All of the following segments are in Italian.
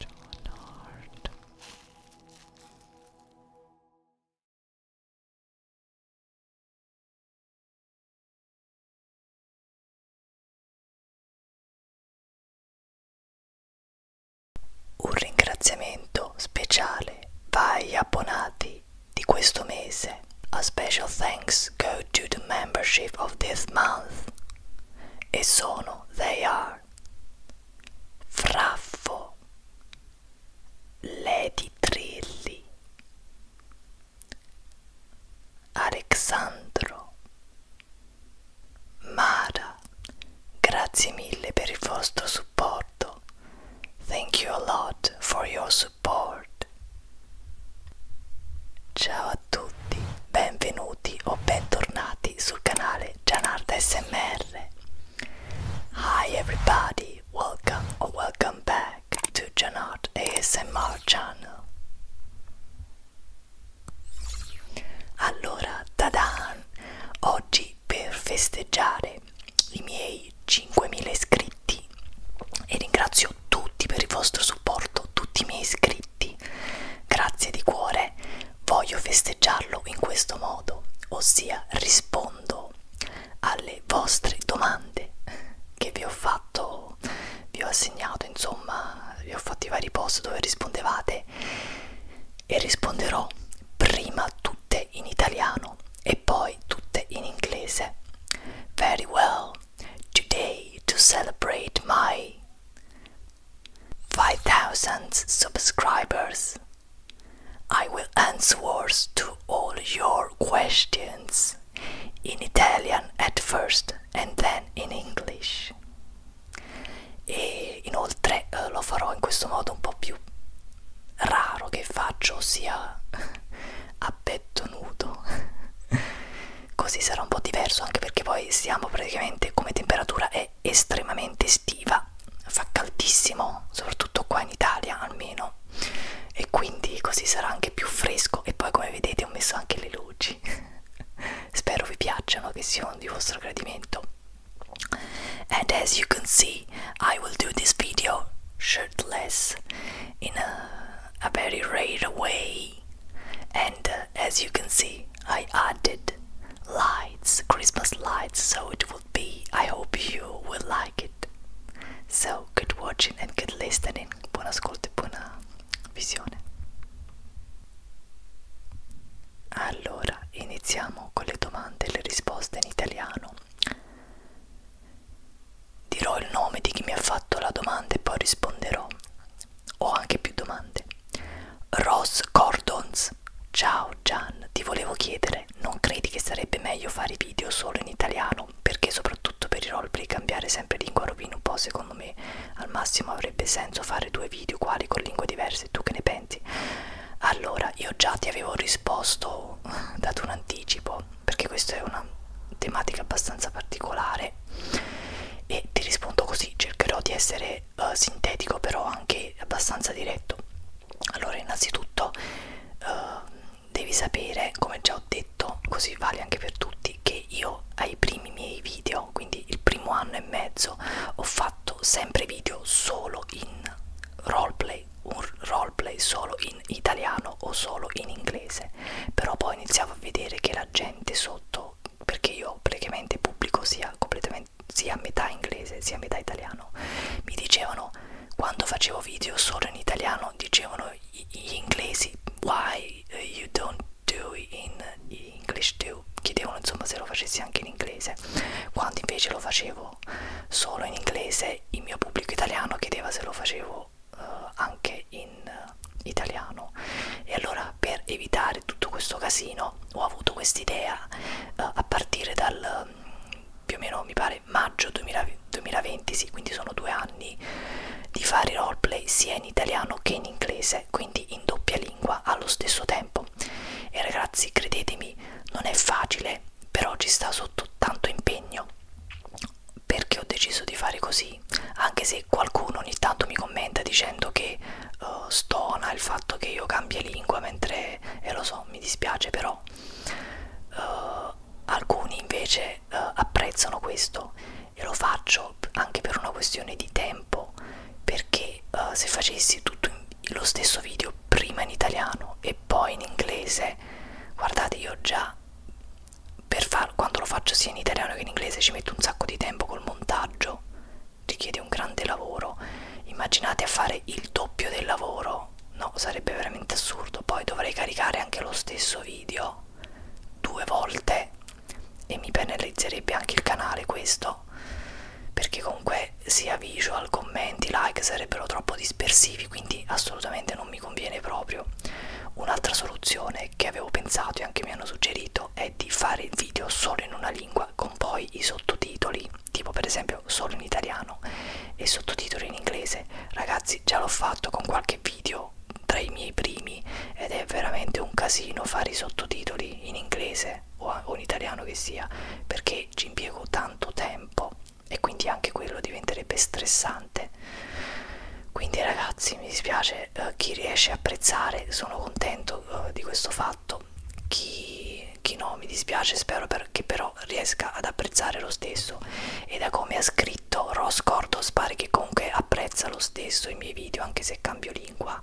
Donard un ringraziamento speciale va agli abbonati di questo mese. A special thanks go to the membership of this month e sono they are Fraffo Lady Trilli Alexandro Mara Grazie mille per il vostro supporto Thank you a lot for your support Ciao a tutti, benvenuti o bentornati sul canale Gianarda SMR. Hi everybody, welcome or welcome back to Janard ASMR channel. Allora, tadan! Oggi per festeggiare i miei 5.000 iscritti e ringrazio tutti per il vostro supporto, tutti i miei iscritti iscritti. Grazie di cuore, voglio festeggiarlo in questo modo, ossia rispondo alle vostre domande che vi ho fatto, vi ho assegnato, insomma, vi ho fatto i vari post dove rispondevate e risponderò prima tutte in italiano e poi tutte in inglese. Very well. Today to celebrate my 5,000 subscribers. I will answer to all your questions in Italian at first and then in English. E inoltre eh, lo farò in questo modo un po' più raro che faccio, ossia a petto nudo. così sarà un po' diverso anche perché poi siamo praticamente come temperatura è estremamente estiva fa caldissimo soprattutto qua in Italia almeno e quindi così sarà anche più fresco e poi come vedete ho messo anche le luci spero vi piacciono che siano di vostro gradimento and as you can see I will do this video shirtless in a, a very rare way and uh, as you can see i added lights, Christmas lights, so it would be. I hope you will like it. So, good watching and good listening. Buon ascolto e buona visione. Allora, iniziamo con le domande e le risposte in italiano. Dirò il nome di chi mi ha fatto la domanda e poi risponderò. Ho anche più domande. Rose Cordons. Ciao Gian, ti volevo chiedere, non credi che sarebbe meglio fare video solo in italiano? Perché soprattutto per i roleplay cambiare sempre lingua rovina un po', secondo me al massimo avrebbe senso fare due video uguali con lingue diverse, tu che ne pensi? Allora, io già ti avevo risposto, dato un anticipo, perché questa è una tematica abbastanza particolare e ti rispondo così cercherò di essere uh, sintetico però anche abbastanza diretto allora innanzitutto uh, devi sapere come già ho detto così vale anche per tutti che io ai primi miei video quindi il primo anno e mezzo ho fatto sempre video solo in roleplay un roleplay solo in italiano o solo in inglese però poi iniziavo a vedere che la gente sotto perché io praticamente pubblico sia, completamente, sia metà inglese sia metà italiano, mi dicevano quando facevo video solo in italiano, dicevano gli inglesi why uh, you don't do in English too, chiedevano insomma se lo facessi anche in inglese, quando invece lo facevo solo in inglese il mio pubblico italiano chiedeva se lo facevo uh, anche in italiano e allora per evitare tutto questo casino ho avuto quest'idea uh, a partire dal um, più o meno mi pare maggio 2000, 2020 sì quindi sono due anni di fare roleplay sia in italiano che in inglese quindi in doppia lingua allo stesso tempo e ragazzi credetemi non è facile però ci sta sotto tanto impegno perché ho deciso di fare così così anche se qualcuno ogni tanto mi commenta dicendo che uh, stona il fatto che io cambia lingua mentre e eh, lo so mi dispiace però uh, alcuni invece uh, apprezzano questo e lo faccio anche per una questione di tempo perché uh, se facessi tutto in, lo stesso video prima in italiano e poi in inglese guardate io già per far, quando lo faccio sia in italiano che in inglese ci metto un sacco di tempo col montaggio richiede un grande lavoro immaginate a fare il doppio del lavoro no sarebbe veramente assurdo poi dovrei caricare anche lo stesso video due volte e mi penalizzerebbe anche il canale questo perché comunque sia visual commenti like sarebbero troppo dispersivi quindi assolutamente non mi conviene proprio un'altra soluzione che avevo pensato e anche mi hanno suggerito preferito è di fare il video solo in una lingua con poi i sottotitoli, tipo per esempio solo in italiano e sottotitoli in inglese. Ragazzi, già l'ho fatto con qualche video tra i miei primi ed è veramente un casino fare i sottotitoli in inglese o in italiano che sia, perché ci impiego tanto tempo e quindi anche quello diventerebbe stressante. Quindi ragazzi, mi dispiace eh, chi riesce a apprezzare sono contento eh, di questo fatto chi, chi no mi dispiace spero per, che però riesca ad apprezzare lo stesso e da come ha scritto Ross Cordos pare che comunque apprezza lo stesso i miei video anche se cambio lingua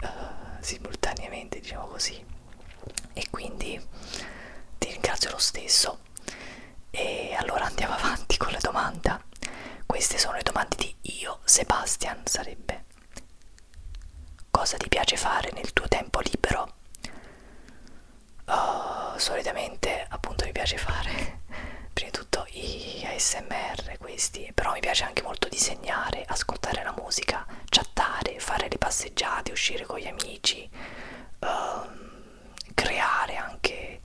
eh, simultaneamente diciamo così e quindi ti ringrazio lo stesso e allora andiamo avanti con la domanda queste sono le domande di io, Sebastian, sarebbe. Cosa ti piace fare nel tuo tempo libero? Oh, solitamente appunto mi piace fare prima di tutto i ASMR questi, però mi piace anche molto disegnare, ascoltare la musica, chattare, fare le passeggiate, uscire con gli amici, um, creare anche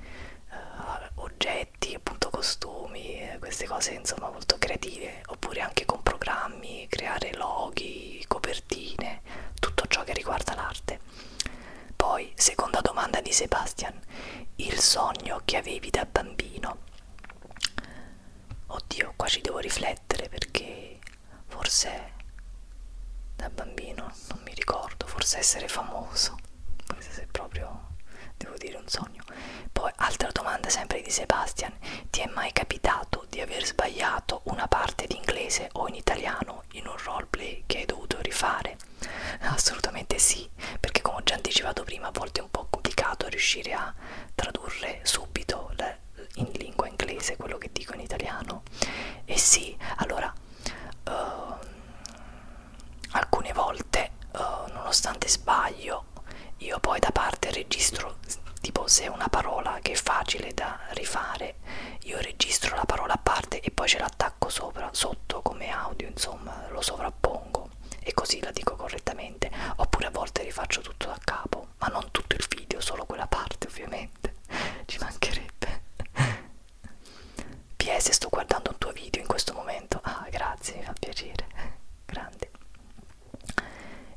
uh, oggetti di appunto costumi, queste cose insomma molto creative, oppure anche con programmi, creare loghi, copertine, tutto ciò che riguarda l'arte. Poi, seconda domanda di Sebastian, il sogno che avevi da bambino. Oddio, qua ci devo riflettere perché forse da bambino non mi ricordo, forse essere famoso questo è proprio devo dire un sogno poi altra domanda sempre di Sebastian ti è mai capitato di aver sbagliato una parte in inglese o in italiano in un roleplay che hai dovuto rifare assolutamente sì perché come ho già anticipato prima a volte è un po' complicato riuscire a tradurre subito le, in lingua inglese quello che dico in italiano e sì allora uh, alcune volte uh, nonostante sbaglio io poi da parte registro tipo se è una parola che è facile da rifare io registro la parola a parte e poi ce l'attacco sopra sotto come audio insomma lo sovrappongo e così la dico correttamente oppure a volte rifaccio tutto da capo ma non tutto il video solo quella parte ovviamente ci mancherebbe PS sto guardando un tuo video in questo momento ah grazie grazie, mi fa piacere, grande.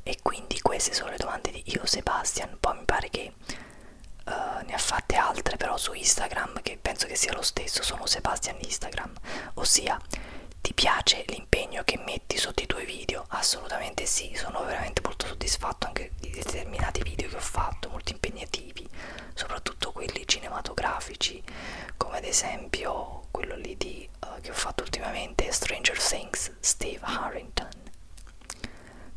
E quindi queste sono le domande di io Sebastian, poi mi pare che uh, ne ha fatte altre però su Instagram, che penso che sia lo stesso, sono Sebastian Instagram, ossia ti piace l'impegno che metti sotto i tuoi video? Assolutamente sì, sono veramente molto soddisfatto anche di determinati video che ho fatto, molto impegnativi, soprattutto quelli cinematografici come ad esempio quello lì di, uh, che ho fatto ultimamente, Stranger Things, Steve Harrington.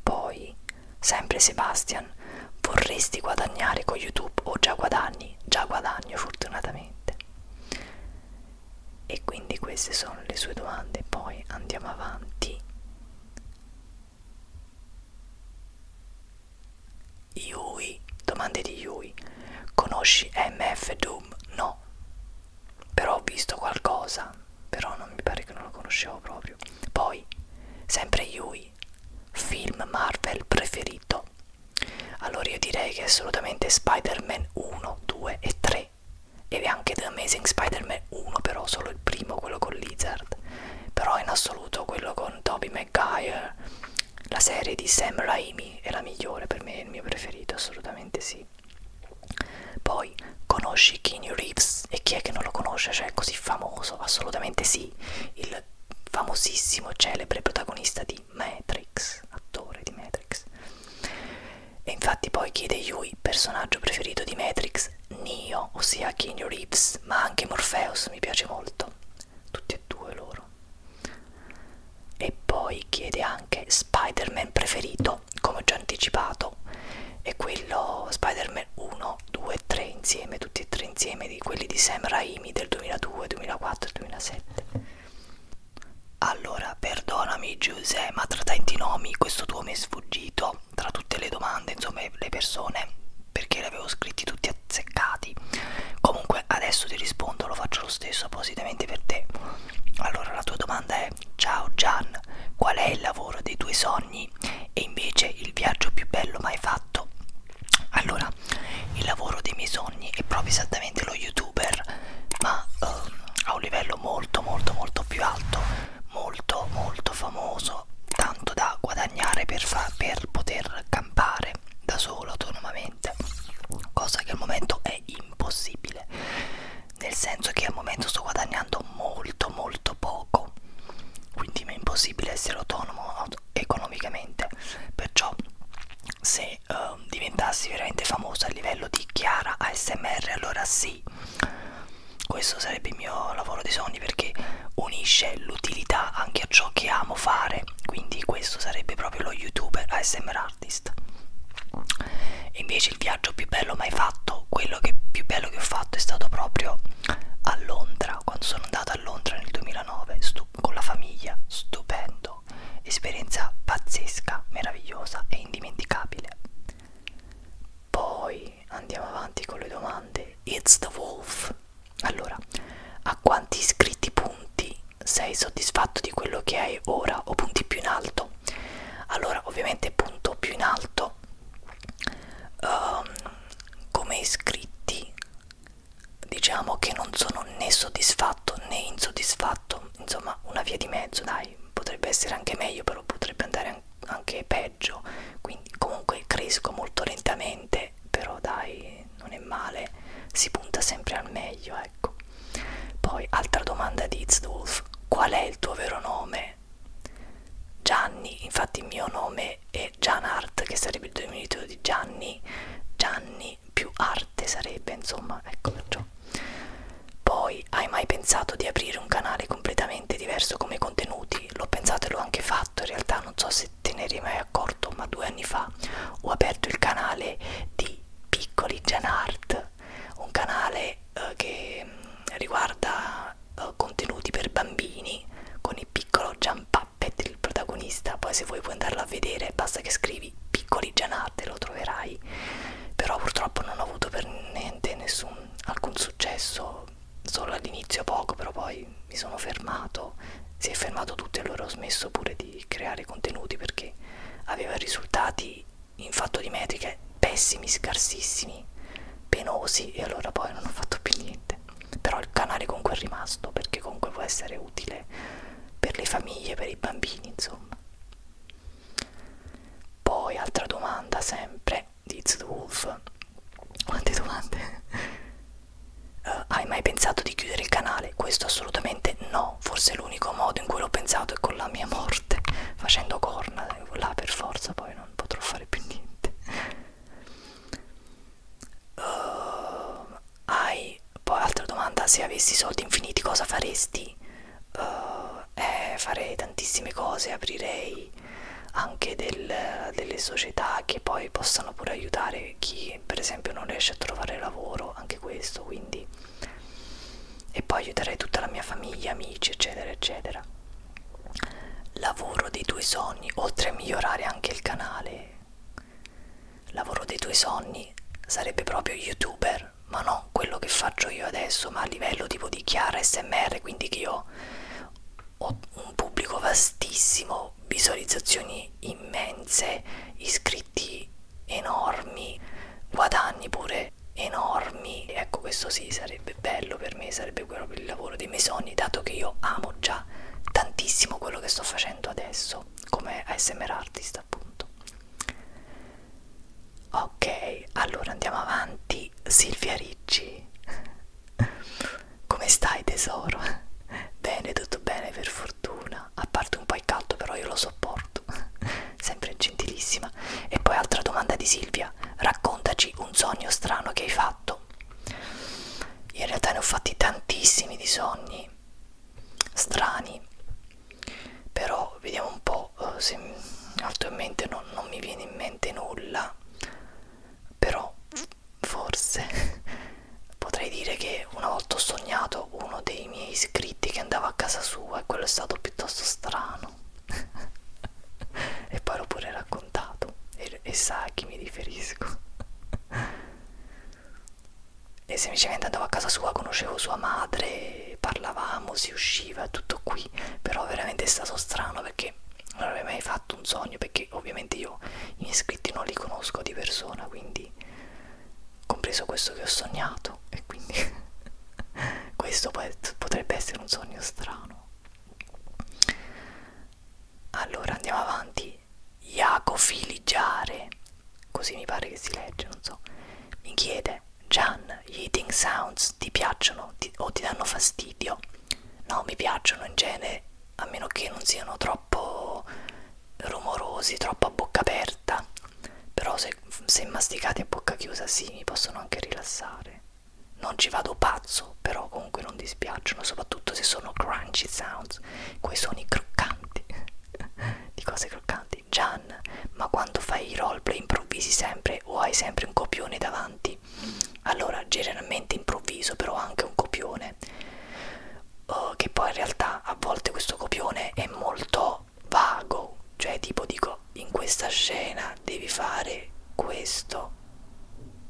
Poi, sempre Sebastian, vorresti guadagnare con YouTube o già guadagni? Già guadagno fortunatamente. E quindi queste sono le sue domande, poi andiamo avanti. Yui, domande di Yui. Conosci MF Doom? No. Però ho visto qualcosa, però non mi pare che non lo conoscevo proprio. Poi, sempre Yui, film Marvel preferito. Allora io direi che è assolutamente Spider-Man 1, 2 e 3. E anche The Amazing Spider-Man 1, però solo il primo, quello con Lizard. Però in assoluto quello con Toby Maguire la serie di Sam Raimi è la migliore per me, è il mio preferito, assolutamente sì. Poi conosci Keanu Reeves e chi è che non lo conosce? Cioè è così famoso, assolutamente sì. Il famosissimo, celebre protagonista di Matrix, attore di Matrix. E infatti poi chiede Yui, personaggio preferito di Matrix, Neo, ossia Keanu Reeves, ma anche Morpheus mi piace molto. Tutti e due loro. E poi chiede anche Spider-Man preferito, come ho già anticipato, è quello Spider-Man 1, 2 e 3 insieme, tutti e tre insieme di quelli di Sam Raimi del 2002, 2004 2007. Allora, perdonami Giuseppe, ma tra tanti nomi questo tuo mi è sfuggito, tra tutte le domande, insomma, le persone, perché le avevo scritti tutti a azzeccati comunque adesso ti rispondo lo faccio lo stesso appositamente per te allora la tua domanda è ciao Gian qual è il lavoro dei tuoi sogni e invece il viaggio più bello mai fatto allora il lavoro dei miei sogni è proprio esattamente lo youtuber ma um, a un livello molto molto molto più alto molto molto famoso tanto da guadagnare per, per poter campare lavorare da solo autonomamente cosa che al momento è impossibile nel senso che al momento sto guadagnando molto molto poco quindi mi è impossibile essere autonomo auto economicamente perciò se uh, diventassi veramente famosa a livello di Chiara ASMR allora sì questo sarebbe il mio lavoro dei sogni perché unisce l'utilità anche dedichi a ciò che amo fare quindi questo sarebbe proprio lo youtuber ASMR artist e invece il viaggio più bello mai fatto quello che più bello che ho fatto è stato proprio a Londra quando sono andata a Londra nel 2009 con la famiglia stupendo esperienza pazzesca meravigliosa e indimenticabile poi andiamo avanti con le domande it's the wolf allora a quanti iscritti punti sei soddisfatto di quello che hai ora o punti più in alto allora ovviamente punto più in alto um, come iscritti diciamo che non sono né soddisfatto né insoddisfatto insomma una via di mezzo dai potrebbe essere anche meglio però potrebbe andare anche peggio quindi comunque cresco molto lentamente male, però dai, non è male, si punta sempre al meglio, ecco. Poi, altra domanda di Itzdolf, qual è il tuo vero nome? Gianni, infatti il mio nome è Gianart, che sarebbe il diminutivo di Gianni, Gianni più arte sarebbe, insomma, ecco perciò. Poi, hai mai pensato di aprire un canale completamente diverso come contenuti? L'ho pensato e l'ho anche fatto, in realtà non so se te ne eri mai accorto, ma due anni fa ho aperto il canale di Piccoli Janart, un canale eh, che mm, riguarda eh, contenuti per bambini con il piccolo Gian Puppet, il protagonista. Poi, se vuoi, puoi andarlo a vedere, basta che scrivi Piccoli Janart e lo troverai. Però, purtroppo, non ho avuto per niente nessun, alcun successo, solo all'inizio poco, però poi mi sono fermato, si è fermato tutto e allora ho smesso pure di creare contenuti perché aveva risultati in fatto di metriche pessimi, scarsissimi, penosi e allora poi non ho fatto più niente. Però il canale comunque è rimasto perché comunque può essere utile per le famiglie, per i bambini, insomma. Poi altra domanda sempre di Wolf. Quante domande? Uh, hai mai pensato di chiudere il canale? Questo assolutamente no, forse l'unico modo in cui l'ho pensato è con la mia morte, facendo corna, là per forza poi non potrò fare più niente. Uh, hai, poi altra domanda, se avessi soldi infiniti cosa faresti? Uh, eh, farei tantissime cose, aprirei anche del, delle società che poi possano pure aiutare anche chi per esempio non riesce a trovare lavoro, anche questo, quindi e poi aiuterei tutta la mia famiglia, amici, eccetera, eccetera. Lavoro dei tuoi sogni, oltre a migliorare anche il canale. Lavoro dei tuoi sogni sarebbe proprio youtuber, ma non quello che faccio io adesso, ma a livello tipo di chiara SMR, quindi che io ho un pubblico vastissimo, hanno visualizzazioni immense, iscritti enormi, guadagni pure enormi. Ecco, questo sì, sarebbe bello per me, sarebbe proprio il lavoro dei miei sogni, dato che io amo già tantissimo quello che sto facendo adesso, come ASMR artist appunto. Ok, allora andiamo avanti. Silvia Ricci, come stai tesoro? bene, tutto bene, per fortuna fortuna a parte un po' il caldo però io lo sopporto sempre gentilissima e poi altra domanda di Silvia raccontaci un sogno strano che hai fatto in realtà ne ho fatti tantissimi di sogni strani però vediamo un po' eh, se attualmente non, non mi viene in mente nulla però forse potrei dire che una volta ho sognato uno dei miei iscritti che andava a casa sua e quello è stato piuttosto strano e poi l'ho pure raccontato e, e sa a chi mi riferisco e semplicemente andavo a casa sua conoscevo sua madre parlavamo si usciva tutto qui però veramente è stato strano perché non avrei mai fatto un sogno perché ovviamente io gli iscritti non li conosco di persona quindi compreso questo che ho sognato e quindi questo potrebbe essere un sogno strano allora andiamo avanti Iacofiligiare così mi pare che si legge non so mi chiede Gian gli eating sounds ti piacciono ti, o ti danno fastidio no mi piacciono in genere a meno che non siano troppo rumorosi, troppo a bocca aperta, però se, se masticati a bocca chiusa sì, mi possono anche rilassare. Non ci vado pazzo, però comunque non dispiacciono, soprattutto se sono crunchy sounds, quei suoni croccanti, di cose croccanti. Gian, ma quando fai i roleplay improvvisi sempre o hai sempre un copione davanti? Allora, generalmente improvviso, però anche un copione uh, che poi in realtà a volte questo copione è molto vago, cioè tipo dico in questa scena devi fare questo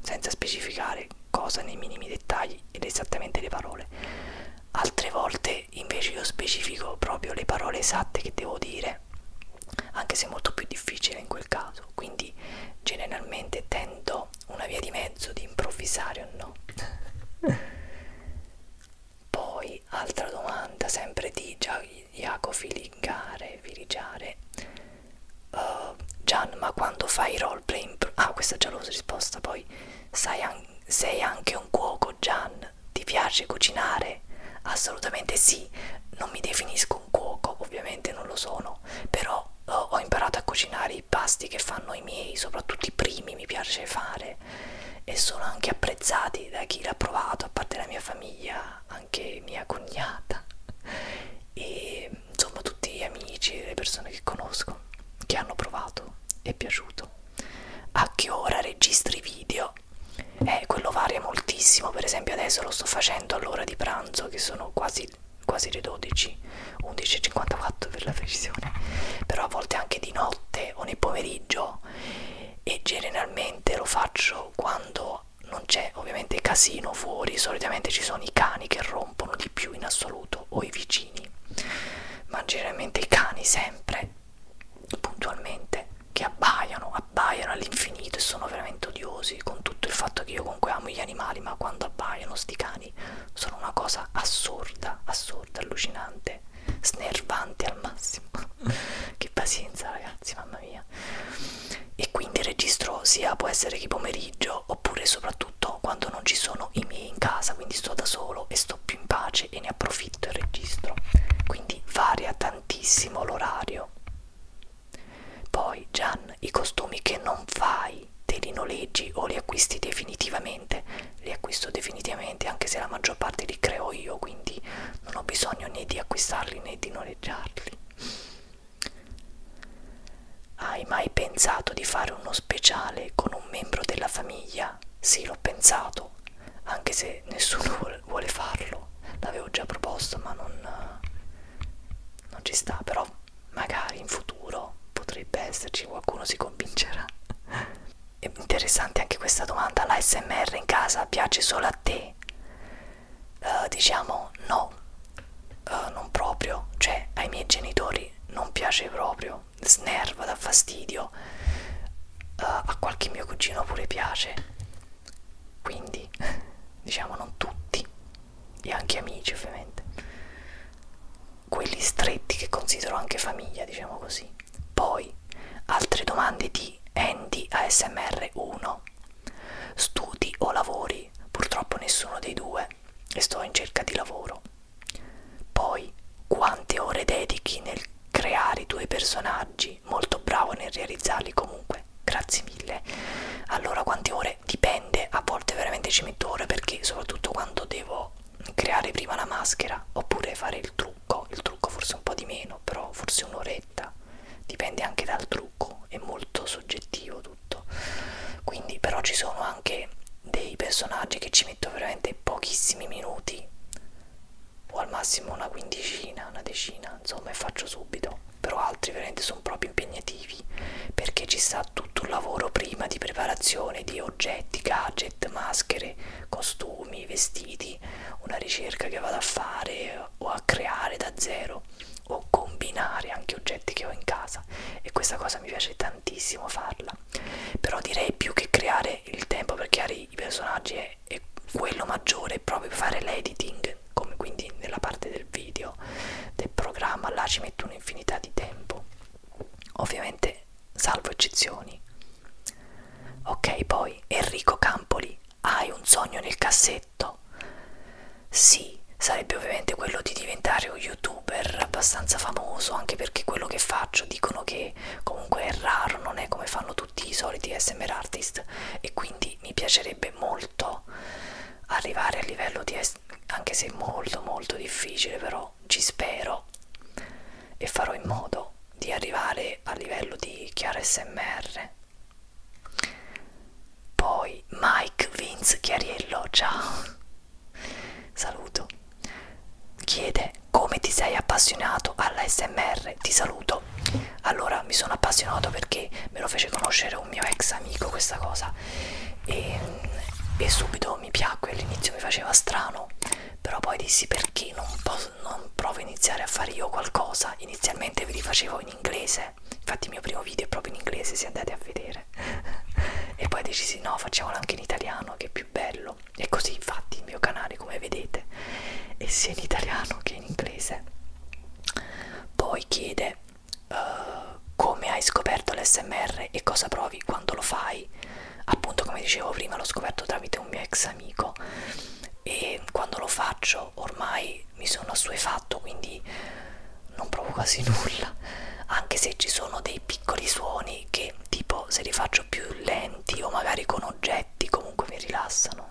senza specificare cosa nei minimi dettagli ed esattamente le parole. Altre volte invece io specifico proprio le parole esatte che devo dire, anche se è molto più difficile in quel caso, quindi generalmente tendo una via di mezzo di improvvisare o no. Poi, altra domanda, sempre di Iaco Filigare, Filigiare. Uh, Gian, ma quando fai roleplay... Ah, questa è già l'ho risposta, poi. Sai an sei anche un cuoco, Gian? Ti piace cucinare? Assolutamente sì. Non mi definisco un cuoco, ovviamente non lo sono, però uh, ho imparato a cucinare i pasti che fanno i miei, soprattutto i primi, mi piace fare e sono anche apprezzati da chi l'ha provato, a parte la mia famiglia, anche mia cognata e insomma tutti gli amici, le persone che conosco che hanno provato è piaciuto a che ora registri video eh, quello varia moltissimo per esempio adesso lo sto facendo all'ora di pranzo che sono quasi, quasi le 12 11.54 per la precisione però a volte anche di notte o nel pomeriggio e generalmente lo faccio quando non c'è ovviamente casino fuori solitamente ci sono i cani che rompono di più in assoluto o i vicini ma generalmente i cani sempre puntualmente che abbaiano abbaiano all'infinito e sono veramente odiosi con tutto il fatto che io comunque amo gli animali ma quando abbaiano sti cani umani sono una cosa assurda, assurda, allucinante, snervante al massimo. che pazienza, ragazzi, mamma mia. E quindi registro sia può essere che pomeriggio oppure soprattutto quando non ci sono i miei in casa, quindi sto da solo e sto più in pace e ne approfitto e registro. Quindi varia tantissimo l'orario. Poi Gian, i costumi che non fai dei, dei rinoleggi o li acquisti definitivamente, li acquisto definitivamente anche se la maggior parte li creo io, quindi non ho bisogno né di acquistarli né di noleggiarli. Hai mai pensato di fare uno speciale con un membro della famiglia? Sì, l'ho pensato, anche se nessuno vuole farlo. L'avevo già proposto, ma non, non ci sta, però magari in futuro potrebbe esserci qualcuno si convincerà è interessante anche questa domanda l'ASMR in casa piace solo a te uh, diciamo no uh, non proprio cioè ai miei genitori non piace proprio snerva dà fastidio uh, a qualche mio cugino pure piace quindi diciamo non tutti e anche amici ovviamente quelli stretti che considero anche famiglia, diciamo così. Poi, altre domande di Andy ASMR 1. Studi o lavori? Purtroppo nessuno dei due e sto in cerca di lavoro. Poi, quante ore dedichi nel creare i tuoi personaggi? Molto bravo nel realizzarli comunque. Grazie mille. Allora, quante ore? Dipende, a volte veramente ci metto ore perché soprattutto quando devo creare prima la maschera oppure fare il trucco, il trucco forse un po' di meno, però forse un'oretta, dipende anche dal trucco, è molto soggettivo tutto. Quindi però ci sono anche dei personaggi che ci metto veramente pochissimi minuti o al massimo una quindicina, una decina, insomma, e faccio subito. Però altri veramente sono proprio impegnativi perché ci sta tutto un lavoro prima di preparazione di oggetti, gadget, maschere, costumi, vestiti, una ricerca che vado a fare o a creare da zero o combinare anche oggetti che ho in casa e questa cosa mi piace tantissimo farla però direi più che creare il tempo per creare i personaggi è, è quello maggiore è proprio fare l'editing come quindi nella parte del video del programma là ci metto un'infinità di tempo ovviamente salvo eccezioni. Ok, poi Enrico Campoli, hai un sogno nel cassetto? Sì, sarebbe ovviamente quello di diventare un youtuber abbastanza famoso, anche perché quello che faccio dicono che comunque è raro, non è come fanno tutti i soliti SMR artist e quindi mi piacerebbe molto arrivare a livello di anche se è molto molto difficile però almeno ci spero e farò in modo di arrivare a livello di Chiara SMR. Poi Mike Vince Chiariello, ciao. Saluto. Chiede come ti sei appassionato alla SMR. Ti saluto. Allora mi sono appassionato perché me lo fece conoscere un mio ex amico questa cosa musica e, e subito mi piacque, all'inizio mi faceva strano, però poi dissi perché non, posso, non provo a iniziare a fare io qualcosa, inizialmente ve li facevo in inglese, infatti il mio primo video è proprio in inglese se andate a vedere e poi decisi no facciamolo anche in italiano che è più bello e così infatti il mio canale come vedete è sia in italiano che in inglese poi chiede uh, come hai scoperto l'SMR e cosa provi quando lo fai. Appunto, come dicevo prima, l'ho scoperto tramite un mio ex amico e quando lo faccio ormai mi sono assuefatto, quindi non provo quasi nulla. Anche se ci sono dei piccoli suoni che, tipo, se li faccio più lenti o magari con oggetti, comunque mi rilassano.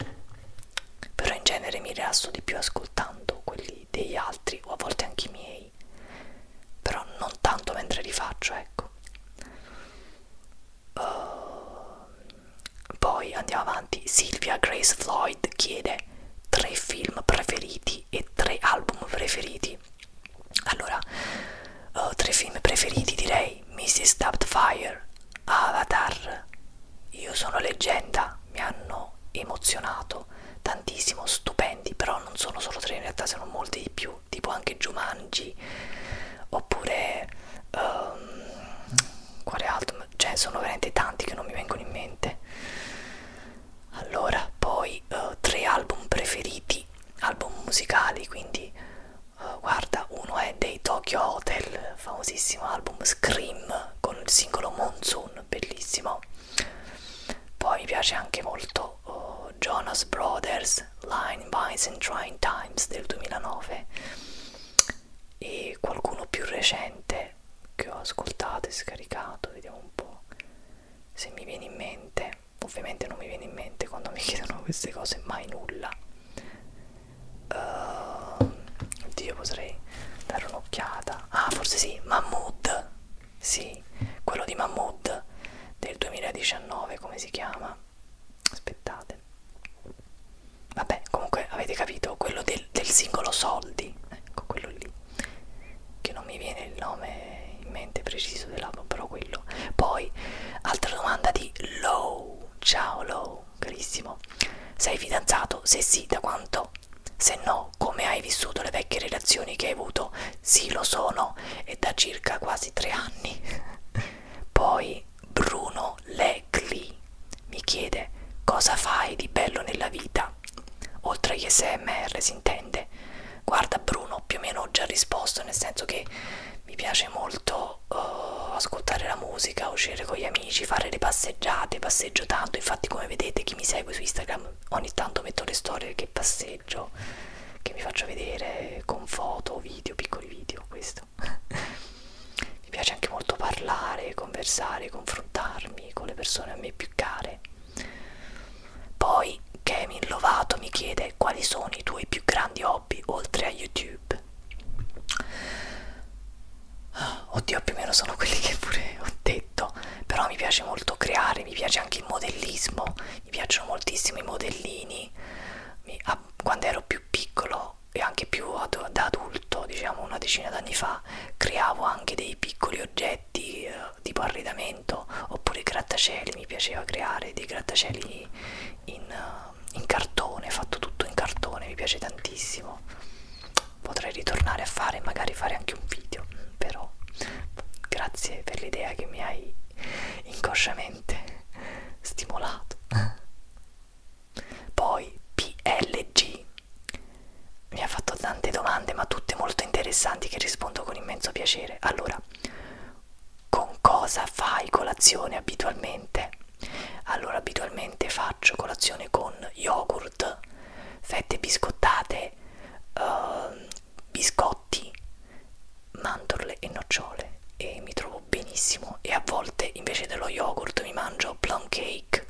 Però in genere mi rilasso di più ascoltando quelli degli altri o a volte anche i miei però non tanto mentre li faccio ecco uh, poi andiamo avanti Silvia Grace Floyd chiede tre film preferiti e tre album preferiti allora uh, tre film preferiti direi Mrs. Doubtfire Avatar io sono leggenda mi hanno emozionato tantissimo stupendi però non sono solo tre in realtà sono molti di più più, tipo anche Jumanji oppure um, quale altro, cioè sono veramente tanti che non mi vengono in mente. Allora, poi uh, tre album preferiti, album musicali, quindi uh, guarda, uno è dei Tokyo Hotel, famosissimo album Scream con il singolo Monsoon, bellissimo. Poi mi piace anche molto o oh, Jonas Brothers Line Vines and Trying Times del 2009 e qualcuno più recente che ho ascoltato e scaricato vediamo un po' se mi viene in mente ovviamente non mi viene in mente quando mi chiedono queste cose mai nulla uh, oddio potrei dare un'occhiata ah forse sì Mahmood sì, quello di Mahmood del 2019, come si chiama? Aspettate. Vabbè, comunque avete capito, quello del, del singolo Soldi, ecco quello lì, che non mi viene il nome in mente preciso dell'album, però quello. Poi, altra domanda di Low, ciao Low, carissimo. Sei fidanzato? Se sì, da quanto? Se no, come hai vissuto le vecchie relazioni che hai avuto? Sì, lo sono, è da circa quasi tre anni. Poi Bruno Legli mi chiede cosa fai di bello nella vita. Oltre agli SMR si intende. Guarda Bruno, più o meno ho già risposto, nel senso che mi piace molto uh, ascoltare la musica, uscire con gli amici, fare le passeggiate, passeggio tanto, infatti come vedete chi mi segue su Instagram ogni tanto metto le storie che passeggio, che mi faccio vedere con foto, video, piccoli video, questo. mi piace anche molto parlare, conversare, confrontarmi con le persone a me più care. Poi Kevin Lovato mi chiede quali sono i tuoi più grandi hobby oltre a YouTube. Oddio, più o meno sono quelli che pure ho detto, però mi piace molto creare, mi piace anche il modellismo, mi piacciono moltissimo i modellini mi, a, quando ero più piccolo e anche più ad, da adulto diciamo una decina d'anni fa creavo anche dei piccoli oggetti eh, tipo arredamento oppure grattacieli mi piaceva creare dei grattacieli in, eh, in cartone fatto tutto in cartone mi piace tantissimo potrei ritornare a fare magari fare anche un video però grazie per l'idea che mi hai inconsciamente stimolato poi PLG mi ha fatto tante domande ma tutte molto interessanti che rispondo con immenso piacere allora con cosa fai colazione abitualmente? Allora abitualmente faccio colazione con yogurt, fette biscottate, uh, biscotti biscotti, mandorle e nocciole e mi trovo benissimo e a volte invece dello yogurt mi mangio plum cake,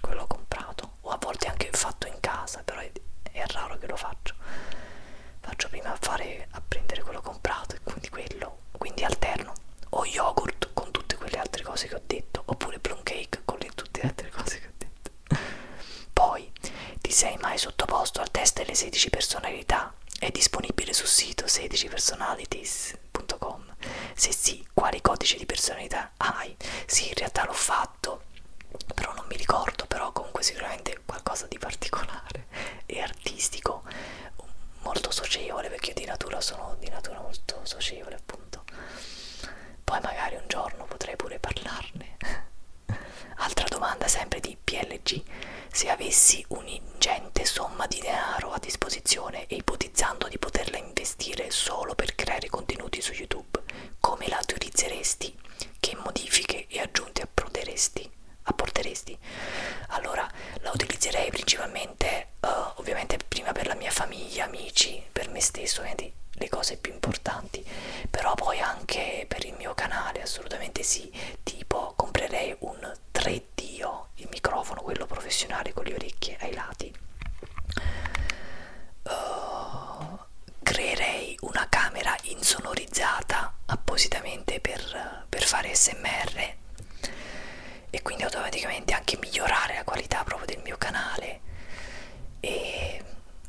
quello comprato o a volte anche fatto in casa, però è, è raro che lo faccio. Faccio prima a, fare, a prendere quello comprato e quindi quello, quindi alterno o yogurt con tutte quelle altre cose che ho detto oppure plum cake con le, tutte le altre cose che ho detto Poi ti sei mai sottoposto al test delle 16 personalità? È disponibile sul sito 16personalities.com. Se sì, quali codici di personalità hai? Sì, in realtà l'ho fatto, però non mi ricordo, però comunque sicuramente qualcosa di particolare e artistico, molto socievole, perché io di natura sono di natura molto socievole appunto. Poi magari un giorno potrei pure parlarne Altra domanda sempre di PLG. Se avessi un'ingente somma di denaro a disposizione e ipotizzando di poterla investire solo per creare contenuti su YouTube, come la utilizzeresti? Che modifiche e aggiunte apporteresti? Allora, la utilizzerei principalmente, uh, ovviamente prima per la mia famiglia, amici, per me stesso, le cose più importanti interessanti però poi anche per il mio canale assolutamente sì tipo comprerei un 3D -o, il microfono quello professionale con le orecchie ai lati uh, creerei una camera insonorizzata appositamente per, per fare smr e quindi automaticamente anche migliorare la qualità proprio del mio canale e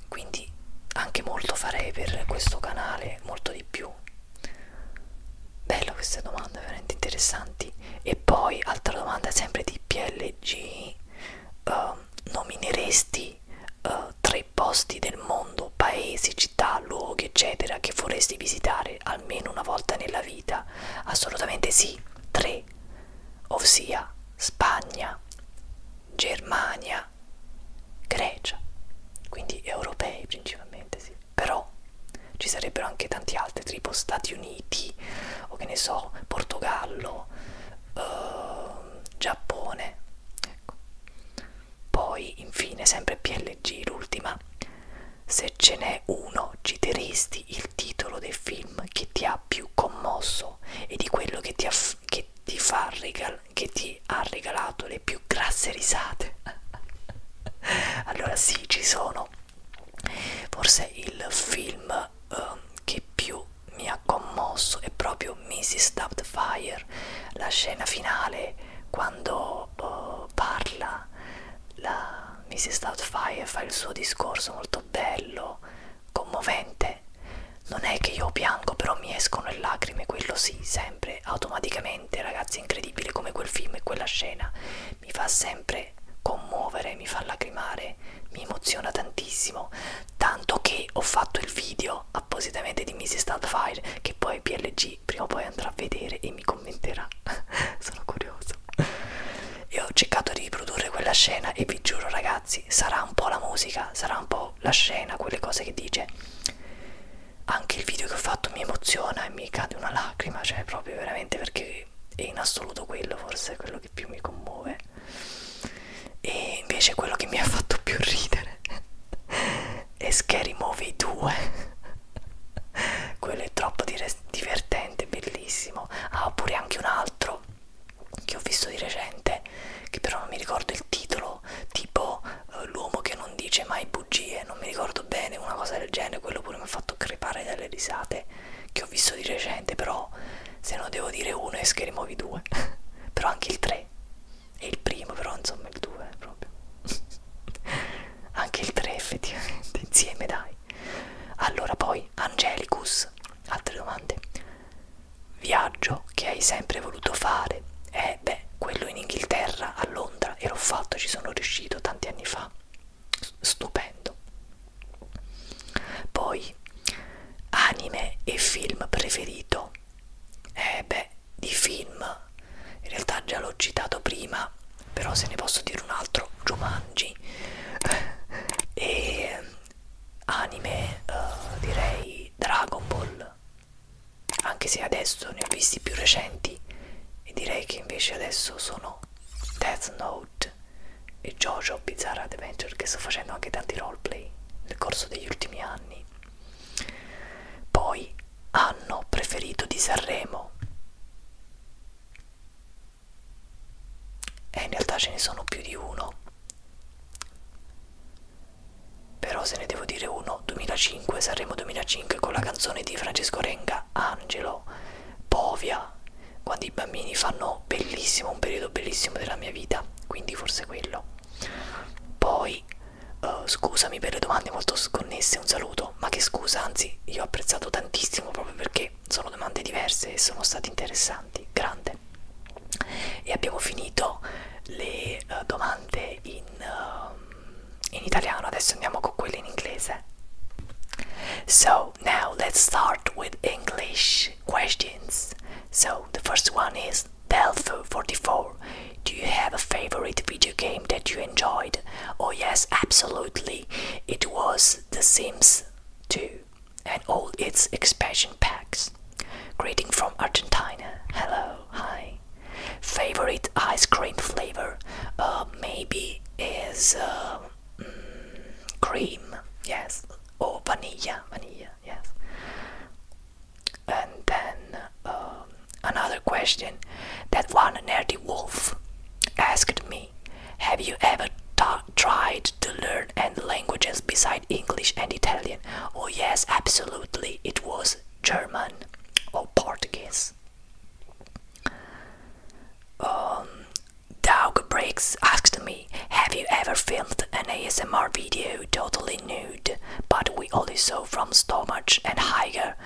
quindi anche molto farei per questo canale molto di più bella queste domande veramente interessanti e poi altra domanda sempre di PLG uh, ehm, nomineresti uh, tre posti del mondo paesi città luoghi eccetera che vorresti visitare almeno una volta nella vita assolutamente sì tre ossia Spagna Germania Turchia, Grecia, quindi europei principalmente, sì. Però ci sarebbero anche tanti altri, tipo Stati Uniti, o che ne so, Portogallo, uh, Giappone. Ecco. Poi, infine, sempre PLG, l'ultima. Se ce n'è uno, ci teresti il titolo del film che ti ha più commosso e di quello che ti, che ti fa regal che ti ha regalato le più grasse risate allora sì ci sono forse il film uh, che più mi ha commosso è proprio Mrs. Doubtfire la scena finale quando uh, parla la Mrs. Doubtfire fa il suo discorso molto bello commovente me. Non è che io piango, però mi escono le lacrime, quello sì, sempre, automaticamente, ragazzi, è incredibile come quel film e quella scena mi fa sempre commuovere, mi fa lacrimare, mi emoziona tantissimo, tanto che ho fatto il video appositamente di Mrs. Starfire che poi PLG prima o poi andrà a vedere e mi commenterà, sono curioso. E ho cercato di riprodurre quella scena e vi giuro ragazzi, sarà un po' la musica, sarà un po' proprio la scena, quelle cose che dice. Anche il video che ho fatto mi emoziona e mi cade una lacrima, cioè proprio veramente perché è in assoluto quello forse quello che più mi commuove. E invece quello che mi ha fatto più ridere è Scary Movie 2. Quello è troppo divertente, bellissimo. Ah, oppure anche un altro che ho visto di recente, che però non mi ricordo il titolo, tipo uh, L'uomo che non dice mai bugie, non mi ricordo bene, una cosa del genere, quello pure mi ha fatto crepare dalle risate, che ho visto di recente, però se non devo dire uno è Scary Movie 2, però anche il 3, e il primo, però insomma il 2 eh, proprio, anche il 3 effettivamente, insieme dai. Allora poi, Angelicus, altre domande? viaggio che hai sempre voluto fare è eh, beh, quello in Inghilterra, a Londra, e l'ho fatto, ci sono riuscito tanti anni fa. Stupendo. Poi, anime e film preferito. Eh beh, di film, in realtà già l'ho citato prima, però se ne posso dire un altro, Jumanji. e anime, uh, direi Dragon Ball, anche se adesso ne ho visti più recenti e direi che invece adesso sono Death Note e Jojo Bizarre Adventure che sto facendo anche tanti roleplay nel corso degli ultimi anni poi anno preferito di Sanremo e in realtà ce ne sono più di uno però se ne devo dire uno, 2005, Sanremo 2005 con la canzone di Francesco Renga, Angelo, Povia, quando i bambini fanno bellissimo, un periodo bellissimo della mia vita, quindi forse quello. Poi, uh, scusami per le domande molto sconnesse, un saluto, ma che scusa, anzi, io ho apprezzato tantissimo proprio perché sono domande diverse e sono state interessanti, grande. e abbiamo finito le eh, domande in, ehm, in italiano adesso andiamo con quelle in inglese so now let's start with english questions so the first one is delpho 44 do you have a favorite video game that you enjoyed oh yes absolutely it was the sims 2 and all its expansion packs Greeting from Argentina. Hello, hi. Favorite ice cream flavor? Uh, maybe is uh, mm, cream, yes, or oh, vanilla, vanilla, yes. And then um, another question that one nerdy wolf asked me: Have you ever tried to learn? and languages beside English and Italian? Oh yes, absolutely. It was German or Portuguese. Um, Doug Briggs asked me, "Have you ever filmed an ASMR video totally nude, but we only saw from stomach and higher?"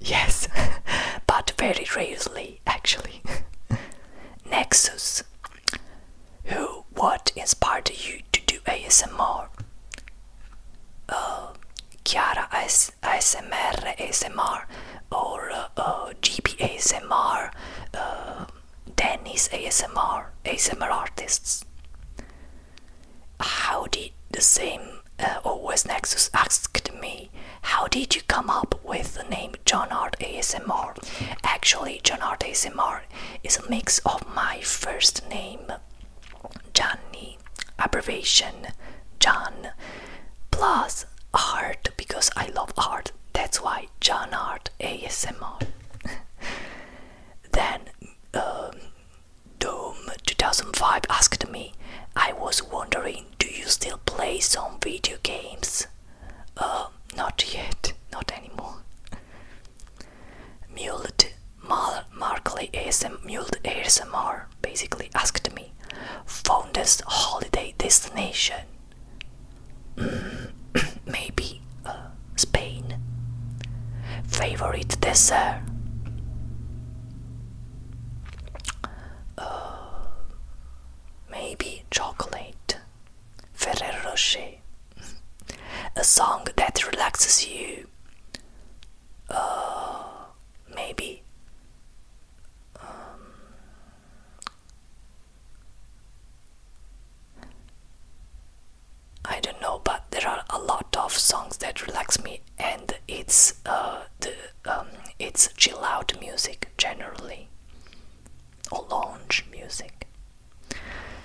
Yes, but very rarely, actually. Nexus who, what inspired you to do ASMR? Uh, Chiara ASMR, ASMR, or uh, uh GB ASMR, uh, Dennis ASMR, ASMR artists. How did the same uh, Always Nexus asked me, how did you come up with the name John Art ASMR? Actually, John Art ASMR Bar is a mix of my first name, Johnny, abbreviation John, plus art because I love art. That's why John Art ASMR. then um, Doom 2005 asked me, I was wondering, do you still play some video games? Uh, not yet, not anymore. Muled Mar Markley ASM, Muled ASMR basically asked me, this holiday destination? Mm, maybe uh, Spain. Favorite dessert? Uh, maybe chocolate. Ferrero Rocher a song that relaxes you uh, maybe um, I don't know, but there are a lot of songs that relax me, and it's uh, the um, it's chill out music generally, lounge music.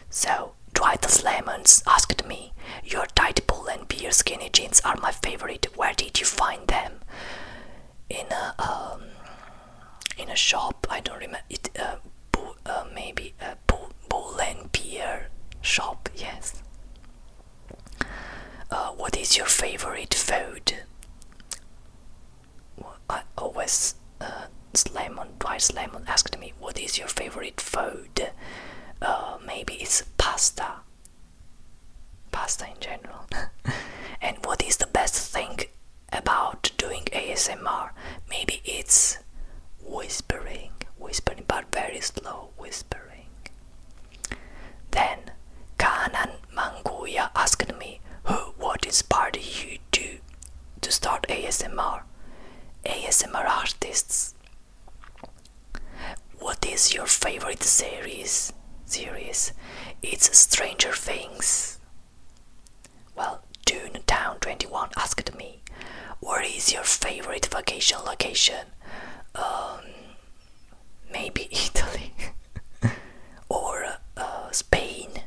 So, Dwightless Lemons asked me, Your tight pull and beer skinny jeans are my favorite. Where did you find them? In a um, in a shop. I don't remember it. Uh, uh, maybe a bull, bull and beer shop. Yes. Uh, what is your favorite food? I always uh, twice Slimon asked me, What is your favorite food? Uh, maybe it's pasta. Pasta in general. and what is the best thing about doing ASMR? Maybe it's whispering, whispering, but very slow whispering. Then Kanan Manguya asked me, Who, what is party you you to start ASMR? ASMR artists. What is your favorite series? Series? It's Stranger Things. Well, June Town 21 asked me, "Where is your favorite vacation location?" Um, maybe Italy or uh, Spain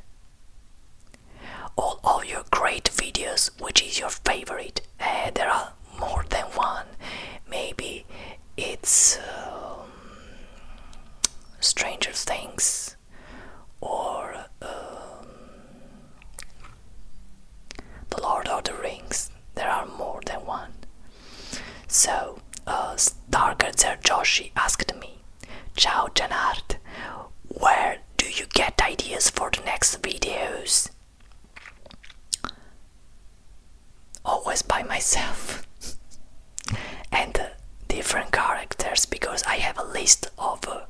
all, of your great videos which is your favorite eh, there are more than one maybe it's um, stranger things or um, the lord of the rings there are more than one so uh, starker joshi asked me ciao janart where do you get ideas for the next videos? Always by myself and uh, different characters because I have a list of uh,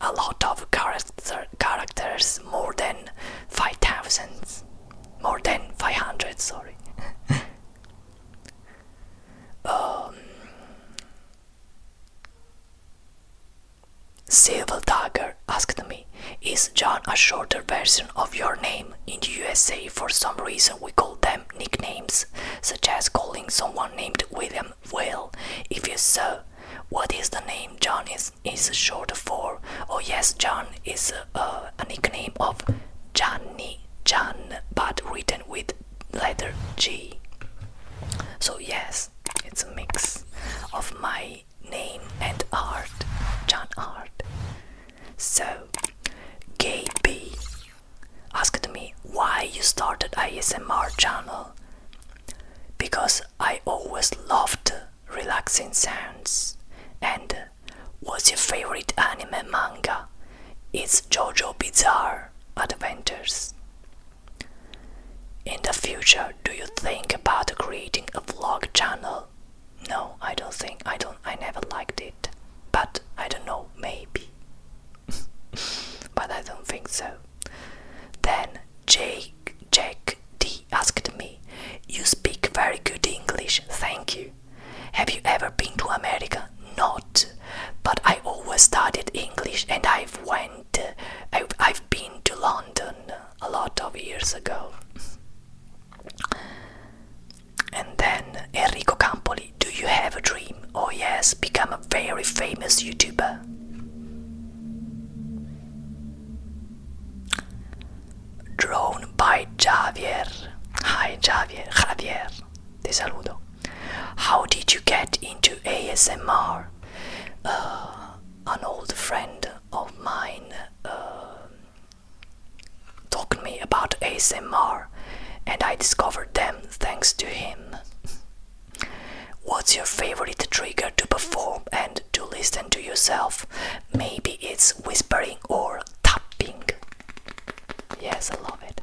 a lot of character characters more than 5000 more than 500 sorry um, Civil Dagger asked me, Is John a shorter version of your name? In the USA, for some reason, we call them nicknames, such as calling someone named William Will. If you so, what is the name John is, is short for? Oh, yes, John is uh, a nickname of Johnny John, but written with letter G. So, yes. It's a mix of my name and art, John Art. So, KB asked me why you started ASMR channel. Because I always loved relaxing sounds. And what's your favorite anime manga? It's JoJo Bizarre Adventures. In the future, do you think about creating a vlog channel? No, I don't think. I don't. I never liked it. But I don't know. Maybe. but I don't think so. Then Jake Jake D asked me, "You speak very good English. Thank you. Have you ever been to America? Not. But I always studied English, and I've went." I, have been to London a lot of years ago. And then Enrico Campoli, do you have a dream? Oh, yes, become a very famous YouTuber. Drawn by Javier. Hi Javier, Javier, te saludo. How did you get into ASMR? Uh, an old friend of mine uh, talked me about ASMR and I discovered them thanks to him. What's your favorite trigger to perform and to listen to yourself? Maybe it's whispering or tapping. Yes, I love it.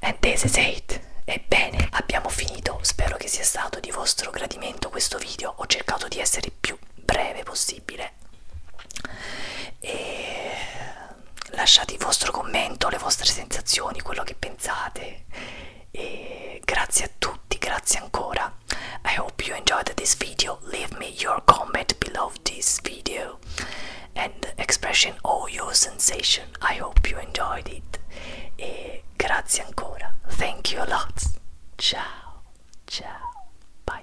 And this is it. Ebbene, abbiamo finito. Spero che sia stato di vostro gradimento questo video. Ho cercato di essere più breve possibile. E lasciate il vostro commento, le vostre sensazioni, quello che pensate. E grazie a tutti, grazie ancora. I hope you enjoyed this video. Leave me your comment below this video. and the expression oh your sensation. I hope you enjoyed it. Eh, grazie ancora. Thank you a lot. Ciao. Ciao. bye.